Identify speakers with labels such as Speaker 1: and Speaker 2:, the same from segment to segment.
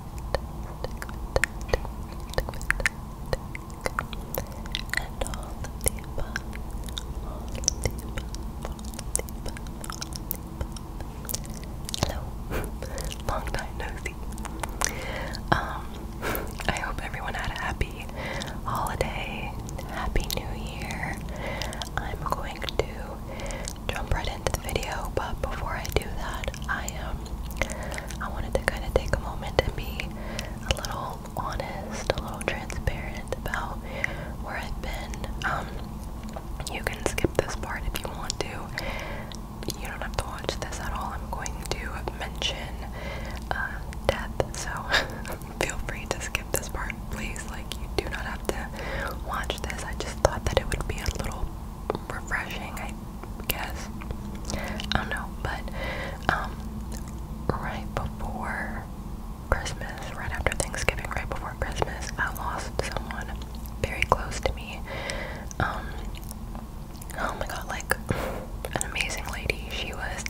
Speaker 1: Hello, long time no see. Um, I hope everyone had a happy um, holiday, happy new year. I'm going to jump right into the video, but before I do that, I um I wanted to kind of take a moment and be a little honest, a little transparent about where I've been. Um, you can skip this part if you want to. You don't have to watch this at all. I'm going to mention uh, death, so feel free to skip this part, please. Like you do not have to watch this. I just thought that it would be a little refreshing, I guess. I don't know, but um, right before Christmas, right after Thanksgiving, right before Christmas, I lost someone very close to me. Um, oh my god, like an amazing lady. She was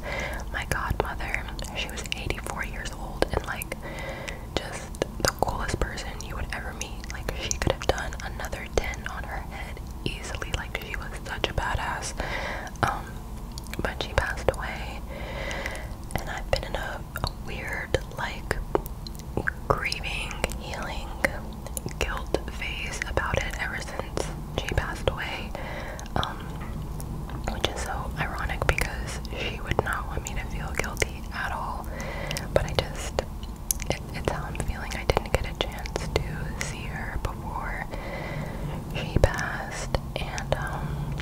Speaker 1: my godmother. She was 84 years old and like just the coolest person you would ever me. Like she could have done another 10 on her head easily. Like she was such a badass. Um, but she passed away. And I've been in a, weird, like, grieving, healing, guilt phase about it ever since she passed away. Um, which is so ironic because she would not want me to feel guilty at all. But I just it's how I'm feeling. I didn't get a chance to see her before she passed, and um,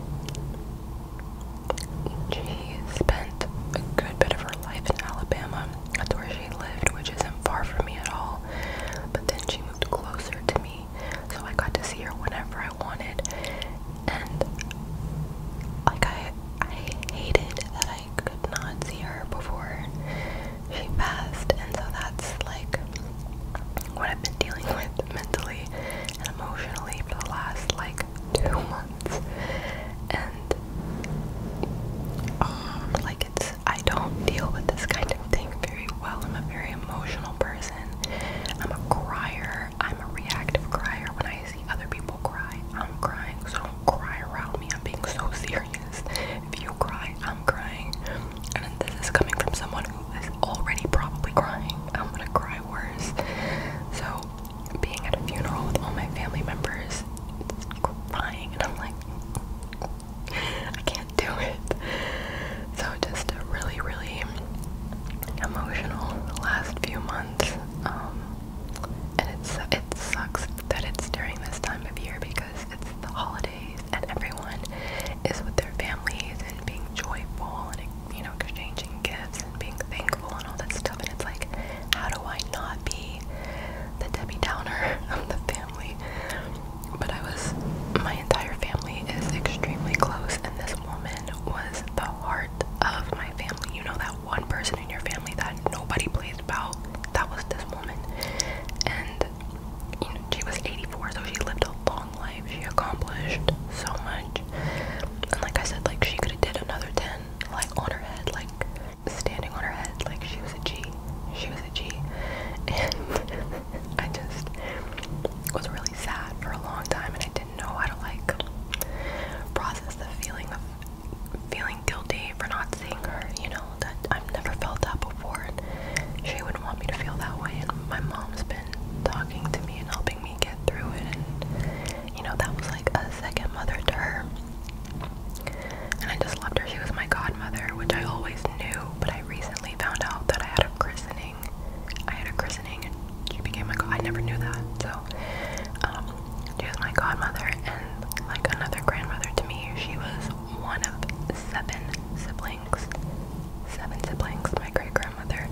Speaker 1: she spent a good bit of her life in Alabama. That's where she lived, which isn't far from me at all. But then she moved closer to me, so I got to see her whenever I wanted. And like I, I hated that I I could not see her before she passed, and so that's like what I've been dealing with mentally and emotionally for the last like two months. And um, like it's, I don't deal with this kind of thing very well. I'm a very emotional person. I'm a crier. I'm a reactive crier. When I other people cry, I'm crying, so don't cry around me. I'm being so serious. If you cry, I'm crying. And this is coming from someone who is already probably crying. I'm gonna cry worse. So, being at a funeral with all my family members, crying, and I'm like, I can't do it. So, just a really, really emotional last few months. Um, and it sucks that it's during this time of year because it's the holidays and everyone is with their families and being joyful and you know exchanging gifts and being thankful and all that stuff and it's like how do I not be the Debbie Downer of the family? But I was my entire family is extremely close and this woman was the heart of my family. You know that one person in your family that nobody plays about. That was this woman. And she was 84, so she lived a long life. She accomplished so much. And like I said, like she could have did another 10, like on her head, like standing on her head, like she was a G. She was a G. And I just was really sad for a long time and I didn't know how to like process the feeling of feeling guilty for not seeing her, you know, that I've never felt that before and she wouldn't want me to feel that way and my mom's been talking to me and helping me get through it and you know, that was like a second mother to her. And I just loved her. She was my godmother, which I always knew, but I recently found out that I had a christening. I had a christening and she became my god I never knew that. So um she was my godmother and like another grandmother to me. She was one of seven siblings. Seven siblings. My great grandmother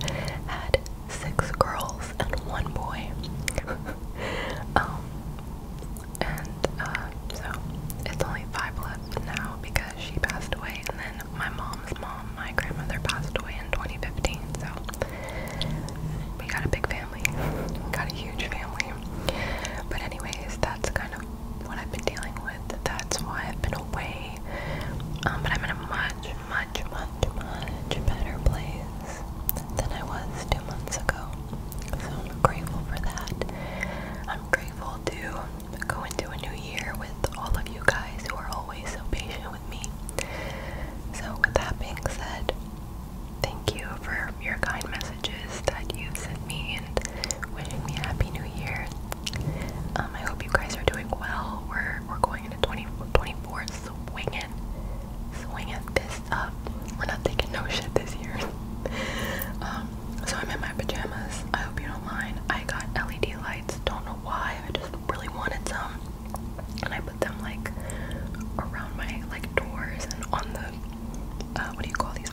Speaker 1: had six girls and one boy. um, and uh, so it's only five left now because she passed away, and then my mom's mom, my grandmother, passed away in 2015. So we got a big family. We got a huge family. But anyways, that's kind of what I've been dealing with. That's why I've been away. Um, but I'm in a much, much, much, much better place than I was two months ago. So I'm grateful for that. I'm grateful to go into a new year with all of you guys who are always so patient with me. So with that being said, Thank you for your kind messages that you've sent me and wishing me a happy new year. Um, I hope you guys are doing well. We're we're going into 2024 20, swinging, swinging this up. We're not taking no shit this year. um, so I'm in my pajamas. I hope you don't mind. I got LED lights. Don't know why. I just really wanted some and I put them like around my like doors and on the uh, what do you call these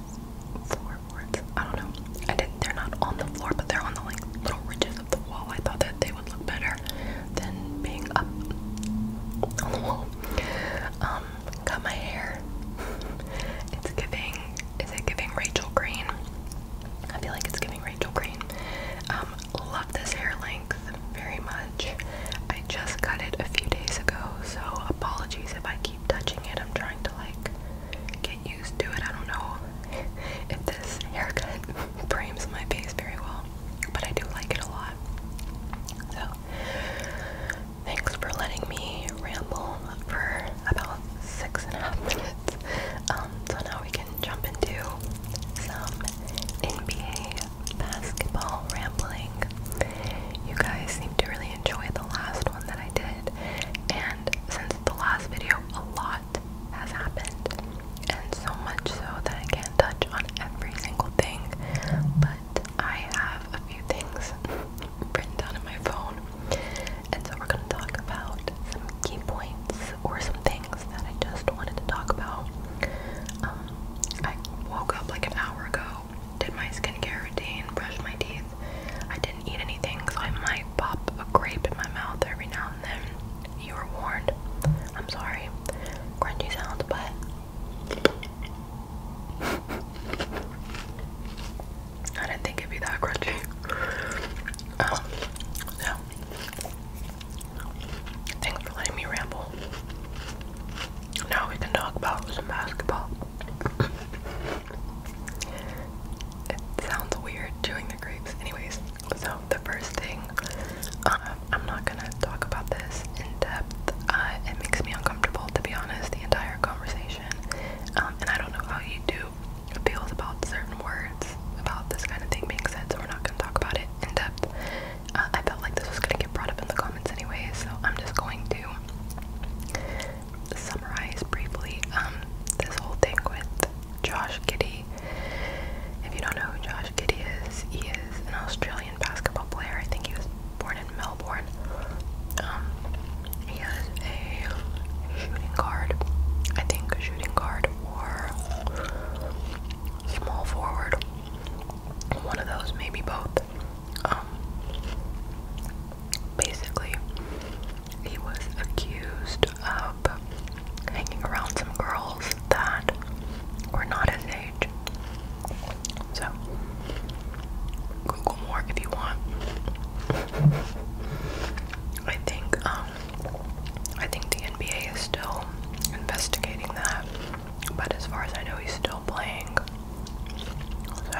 Speaker 1: floorboards? I don't know. I didn't. They're not on the floor, but they're on the like little ridges of the wall. I thought that they would look better than being up on the wall. Um, cut my hair. it's giving. Is it giving Rachel Green? I feel like it's giving Rachel Green. Um, love this hair length length very much. I just got it a few days ago, so apologies if I keep touching it. I'm trying to like get used to it. I don't know if this haircut frames my face very well, but I do like it a lot. So, thanks for letting me ramble for about six and a half minutes. Um, so now we can jump into some NBA basketball rambling. You guys seem to really enjoy the last one that I did, and since the last video, a lot has happened, and so much so that I can't touch on every single thing, but I have a few things written down in my phone, and so we're gonna talk about some key points or some things that I just wanted to talk about. Um, I woke up like an hour ago, did my skincare routine, brushed my teeth. I didn't eat anything, so I might pop a grape in my mouth every now and then. You were warned. I'm sorry. Crunchy sounds, but. I didn't think it'd be that crunchy. Um, Thanks for letting me ramble. Now we can talk about some basketball. it sounds weird doing the grapes. Anyways, so the first thing, uh, I'm not gonna talk about this in depth. Uh, it makes me uncomfortable, to be honest, the entire conversation. Um, and I don't know how you do feels about certain words about this kind of thing being said, so we're not gonna talk about it in depth. Uh, I felt like this was gonna get brought up in the comments anyway, so I'm just going to summarize briefly um, this whole thing with Josh Giddy. If you don't know who Josh Giddy is, he is an Australian basketball player. I think he was born in Melbourne. Um, he has a shooting guard. I think a shooting guard or small forward one of those, maybe both. Um, basically, he was accused of hanging around some girls that were not his age. So, Google more if you want. I think um, I think the NBA is still investigating that, but as far as I know, he's still playing. So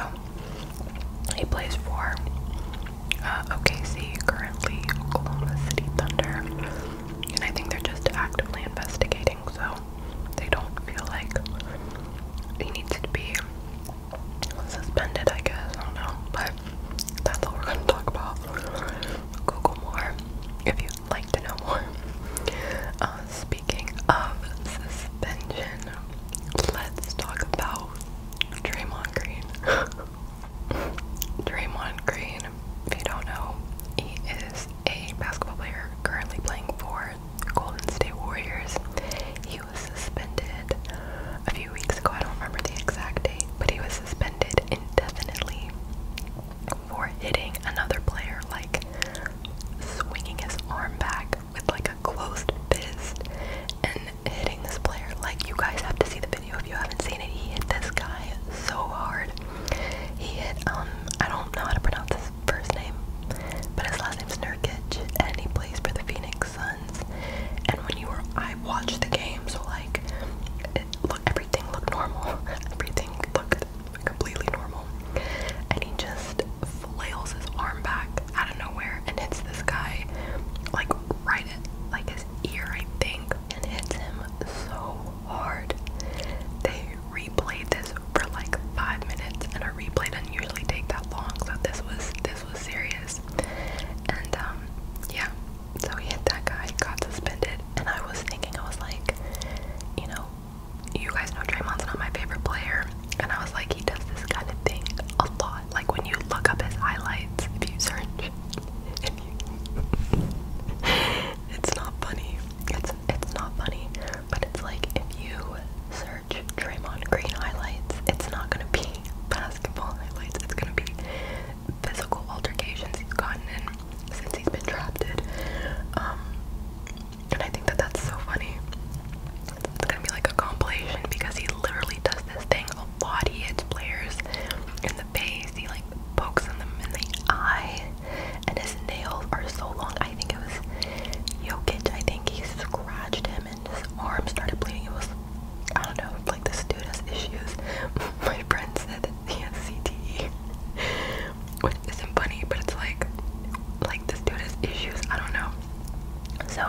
Speaker 1: he plays for uh, OKC currently, Oklahoma City Thunder, and I think they're just actively investigating. So they don't feel like he needs to be suspended. I guess I don't know, but that's all we're gonna talk about. Google more if you like to know more. Uh, speaking of suspension, let's talk about Draymond Green. Draymond Green, if you don't know, he is a basketball player currently playing for the Golden State Warriors. He was suspended a few weeks ago. I don't remember the exact date, but he was suspended indefinitely for hitting another player, like swinging his arm back with like a closed fist and hitting this player. Like, you guys have to see the video if you haven't seen it. He hit this guy so hard. He hit, um, I don't know how to pronounce his first name, but his last name's Nurkic, and he plays for the Phoenix Suns. And when you were, I watched the game, so like, look everything looked normal. everything looked completely normal. And he just flails his arm back out of nowhere and hits this guy like right at like his ear, I think, and hits him so hard. They replayed this for like five minutes, and a replay doesn't usually take that long, so this was this was serious. And um, yeah, so he hit that guy, got suspended, and I was thinking, I was like, you know, you guys know Draymond's not my favorite player, and I was like, he does this kind of thing a lot. Like when you look up his highlights, if you search, if you it's not funny. It's it's not funny, but it's like if you search Draymond Green highlights, it's not gonna be basketball highlights. It's gonna be physical altercations he's gotten in since he's been trapped. Um, and I think that that's so funny. It's gonna be like a compilation because he literally does this thing a lot. He hits players in the face. He like pokes them in the eye, and his nails are so long. I think it was Jokic. I think he scratched him, and his arm started bleeding. It was I don't know, like this dude has issues. My friend said he has CTE, which isn't funny, but it's like, like this dude has issues. I don't know. So,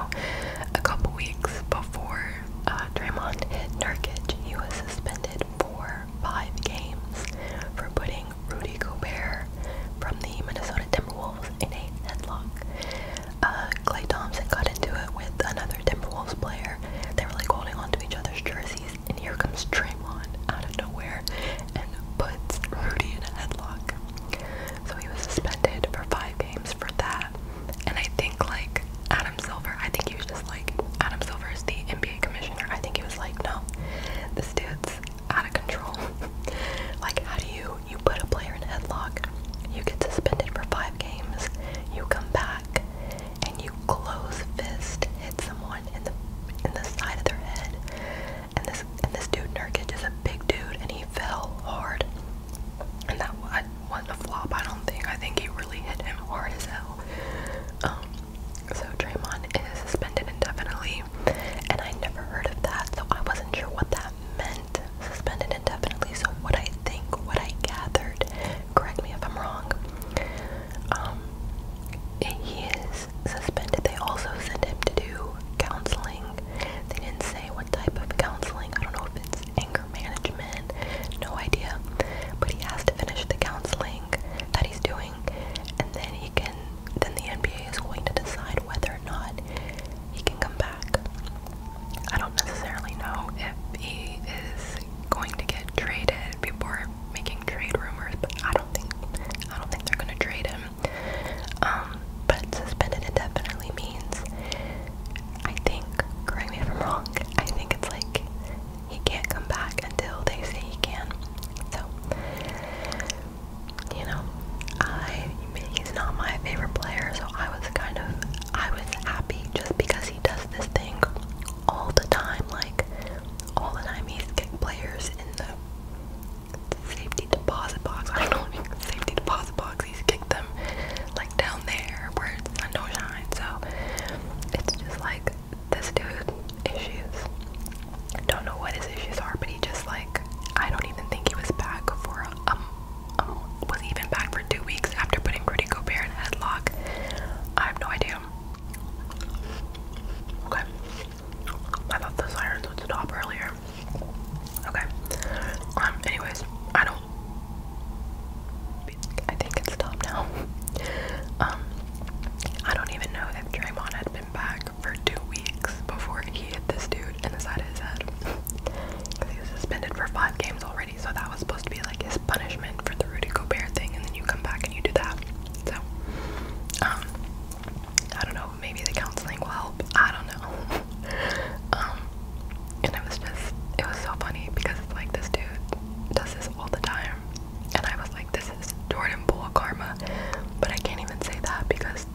Speaker 1: a couple weeks before uh, Draymond hit Nurkic, he was suspended for five games for putting Rudy Gobert from the Minnesota Timberwolves in a headlock. Uh, Clay Thompson got into it with another Timberwolves player. They were like holding onto each other's jerseys, and here comes Draymond out of nowhere and puts Rudy in a headlock. So he was suspended for five games for that. And I think like Adam Silver, I think he was just like Adam Silver is the NBA commissioner. I think he was like, no, this dude's out of control. like, how do you you put a player in a headlock? You get suspended for five games. You come back and you close fist hit someone in the in the side of their head. And this and this dude Nurkic is a big dude, and he fell hard. And that wasn't a flop, I don't think. I think he really hit him hard as hell. Um, so Draymond is suspended indefinitely, and I never heard of that, so I wasn't sure what that meant. Suspended indefinitely. So what I think, what I gathered, correct me if I'm wrong, um, he is suspended. They also sent him to do counseling. They didn't say what type of counseling. I don't know if it's anger management, no idea. But he has to finish the counseling that he's doing, and then he can. Then the NBA is going to decide whether or not he can come back. I don't necessarily know if he is going to get traded. People are making trade rumors, but I don't think I don't think they're gonna trade him. Um, but suspended indefinitely means I think, correct me if I'm wrong, I think it's like he can't come back until they say he can. So you know, I he's not my favorite player, so I was kind of I was happy just because he does this thing all the time, like all the time he's getting players in the safety deposit box. I don't know safety deposit box, he's kicked them like down there where it's not shine. So it's just like this dude issues. don't know what his issues are, but he just like I don't even think he was back for um, was even back for two weeks after putting Rudy Gobert in headlock. I have no idea. Okay. I thought the sirens would stop earlier. Okay. Um, anyways, I don't I think it's stopped now. Um, I don't even know if Draymond had been back for two weeks before he hit this dude in the side of his head. he was suspended for five games already so that was supposed to be like his punishment for the Rudy Bear thing, and then you come back and you do that. So, um, I don't know, maybe the counseling will help. I don't know. Um, and it was just, it was so funny because it's like this dude does this all the time, and I was like, this is Jordan Poole karma, but I can't even say that because,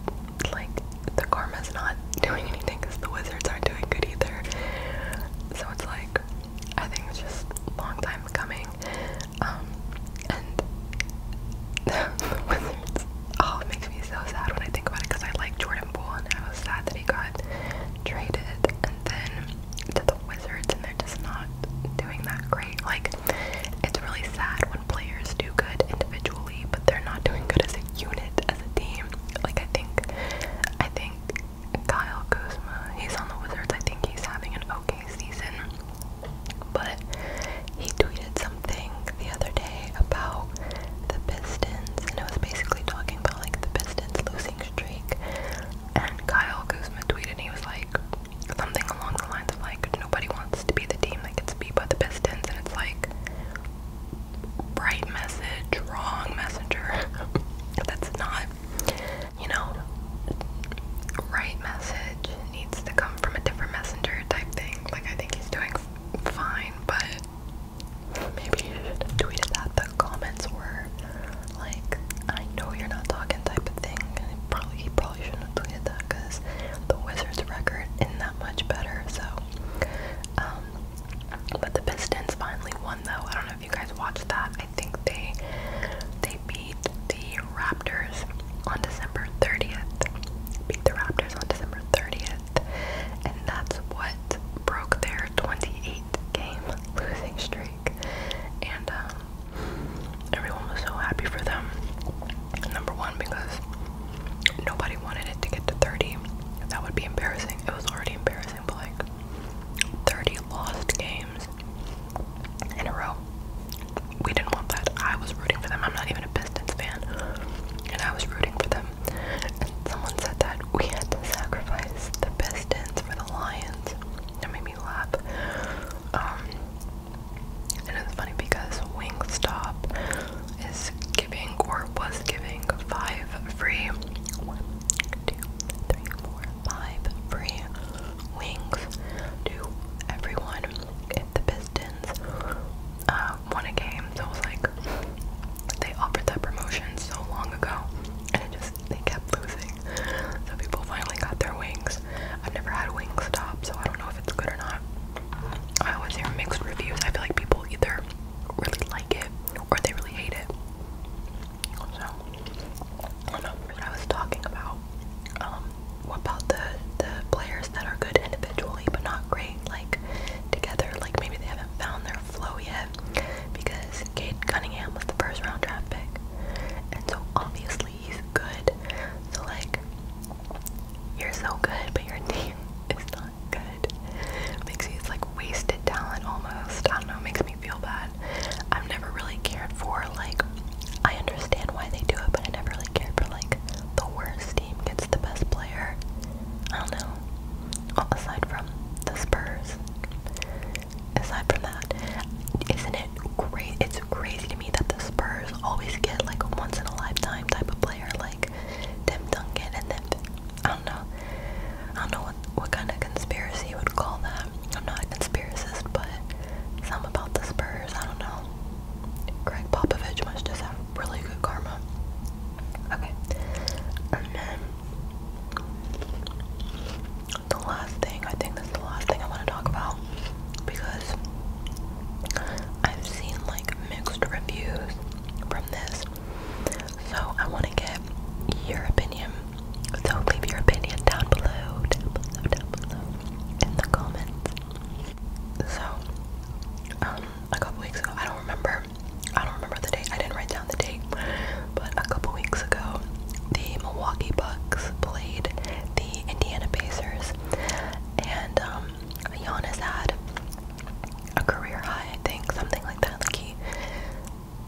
Speaker 1: like, the karma's not doing anything because the Wizards aren't doing good either. So it's like, I think it's just a long time coming. Um, and the Wizards, oh, it makes me so sad when I think about it because I like Jordan Poole and I was sad that he got traded. And then to the Wizards, and they're just not doing that great. Like, it's really sad when players do good individually, but they're not doing good as a unit, as a team. Like, I think, I think Kyle Kuzma. He's on the Wizards. I think he's having an okay season. But he tweeted something the other day about the Pistons, and it was basically talking about like the Pistons losing streak. And Kyle Kuzma tweeted, he was like something along the lines of like nobody wants to be the team that gets beat by the Pistons, and it's like right message, wrong messenger. That's not you know, right message needs to come from a different messenger type thing. Like, I think he's doing fine, but maybe you tweeted that. The comments were like, I know you're not talking type of thing. probably, he probably shouldn't have tweeted that because the Wizards record isn't that much better. So, um, but the Pistons finally won, though if you guys watched that. I think they they beat the Raptors on December 30th. Beat the Raptors on December 30th, and that's what broke their 28 game losing streak. And um, everyone was so happy for them. Number one, because nobody wanted it to get to 30. That would be embarrassing. It was already embarrassing like 30 lost games in a row. We didn't want that. I was rooting for them. I'm not even a Pistons fan. And I was rooting for them. And someone said that we had to sacrifice the Pistons for the Lions. That made me laugh. Um, and it's funny because Wingstop is giving or was giving five free two, three, four, five free wings to everyone if the Pistons uh, won a game. So it was like they offered that promotion so long ago, and it just they kept losing. So people finally got their wings. I've never had wings stop, so I don't know if it's good or not. I always hear mixed reviews. I feel like people either really like it or they really hate it. So I don't know what I was talking about. Um, what about the the players that are good individually but not great like together? Like maybe they haven't found their flow yet because Kate Cunningham was the first round draft pick, and so obviously he's good. So like you're so good, but your team is not good good. Makes me, it's like wasted talent almost. I don't know, it makes me feel bad. I've never really cared for, like, I understand why they do it, but I never really cared for, like, the worst team gets the best player. I don't know. Well, aside from the Spurs. Aside from that, isn't it great? It's crazy to me that the Spurs always get like a once in a lifetime type of player like Tim Duncan and then I don't know. I don't know what what kind of conspiracy you would call that. I'm not a conspiracist, but some about the Spurs. I don't know. Greg Popovich must just have really good karma. Okay, and then the last thing. I think that's the last thing I want to talk about because I've seen like mixed reviews from this. So I want to get your opinion. So leave your opinion down below, in the comments. So, um, a couple weeks ago, I don't remember, I don't remember the date. I didn't write down the date, but a couple weeks ago, the Milwaukee Bucks played the Indiana Pacers, and um, Giannis had a career high, I think, something like that. he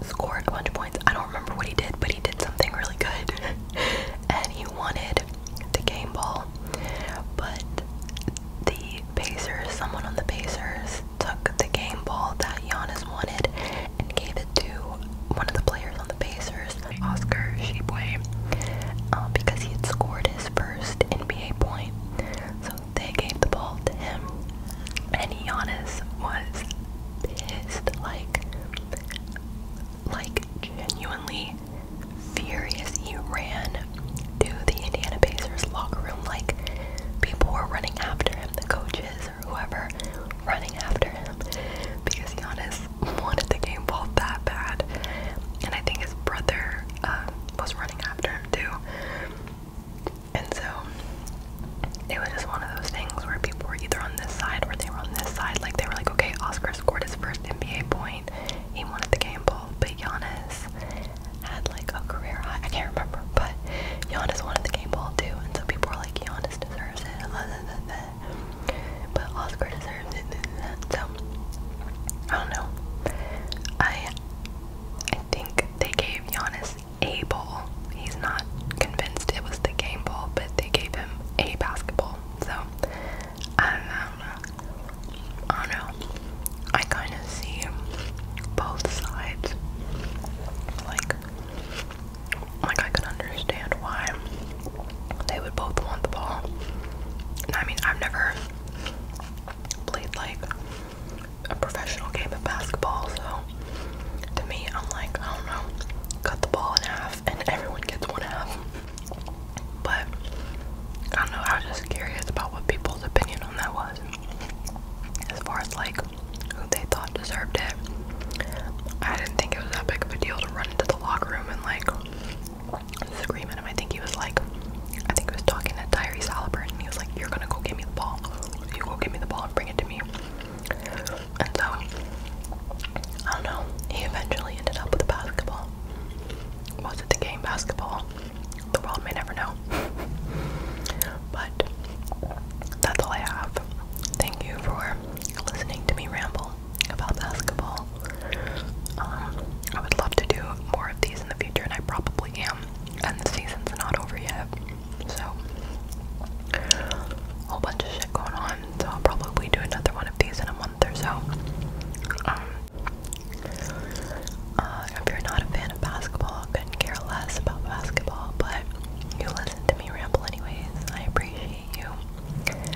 Speaker 1: scored a bunch of points. I don't remember what he did, but he did something really good. and he wanted the game ball. But the Pacers, someone on the Pacers took the game ball that Giannis wanted and gave it to one of the players on the Pacers, Oscar Shibwe, um, because he had scored his first NBA point. So they gave the ball to him, and Giannis was pissed, like, like genuinely furious. He ran to the Indiana Pacers locker room, like people were running after him, the coaches or whoever, running after him, because Giannis wanted the game ball that bad, and I think his brother uh, was running after him too. And so it was just one of those things where people were either on this side or they were on this side. Like they were like, okay, Oscar scored his first NBA point. He wanted the game ball, but Giannis had like a career high. I can't remember, but Giannis wanted the game ball too. And so people were like, Giannis deserves it. Blah, blah, blah, blah. But Oscar deserves it. Blah, blah, blah. So I don't know. I I think they gave Giannis a ball. He's not convinced it was the game ball, but they gave him a basketball. So I don't know. I don't know. I kind of see both sides. Like, like I could understand why they would both want the ball. I mean, I've never played like a professional game of basketball, so to me, I'm like, I don't know, cut the ball in half and everyone gets one half. But I don't know, I was just curious about what people's opinion on that was. As far as like who they thought deserved it, I didn't think it was that big of a deal to run into the locker room and like scream at him. I think he was like I think he was talking to Tyrese Halliburton, and he was like, "You're gonna go get me the ball. You go get me the ball and bring it to me." And so, I don't know. He eventually ended up with a basketball. Was it the game basketball? The world may never know. But that's all I have. Thank you for listening to me ramble about basketball. Um, I would love to do more of these in the future, and I probably am and the season's not over yet, so a whole bunch of shit going on. So I'll probably do another one of these in a month or so. Um, uh, if you're not a fan of basketball, couldn't care less about basketball, but you listen to me ramble anyways. I appreciate you.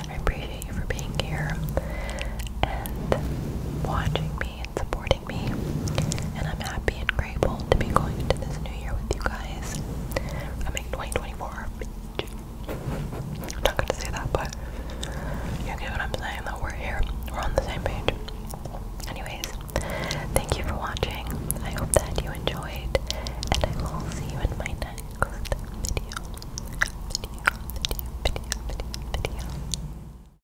Speaker 1: I appreciate you for being here and watching me and supporting and I'm happy and grateful to be going into this new year with you guys. I mean, 2024. I'm not going to say that, but you get what I'm saying, though. We're here, we're on the same page. Anyways, thank you for watching. I hope that you enjoyed, and I will see you in my next video.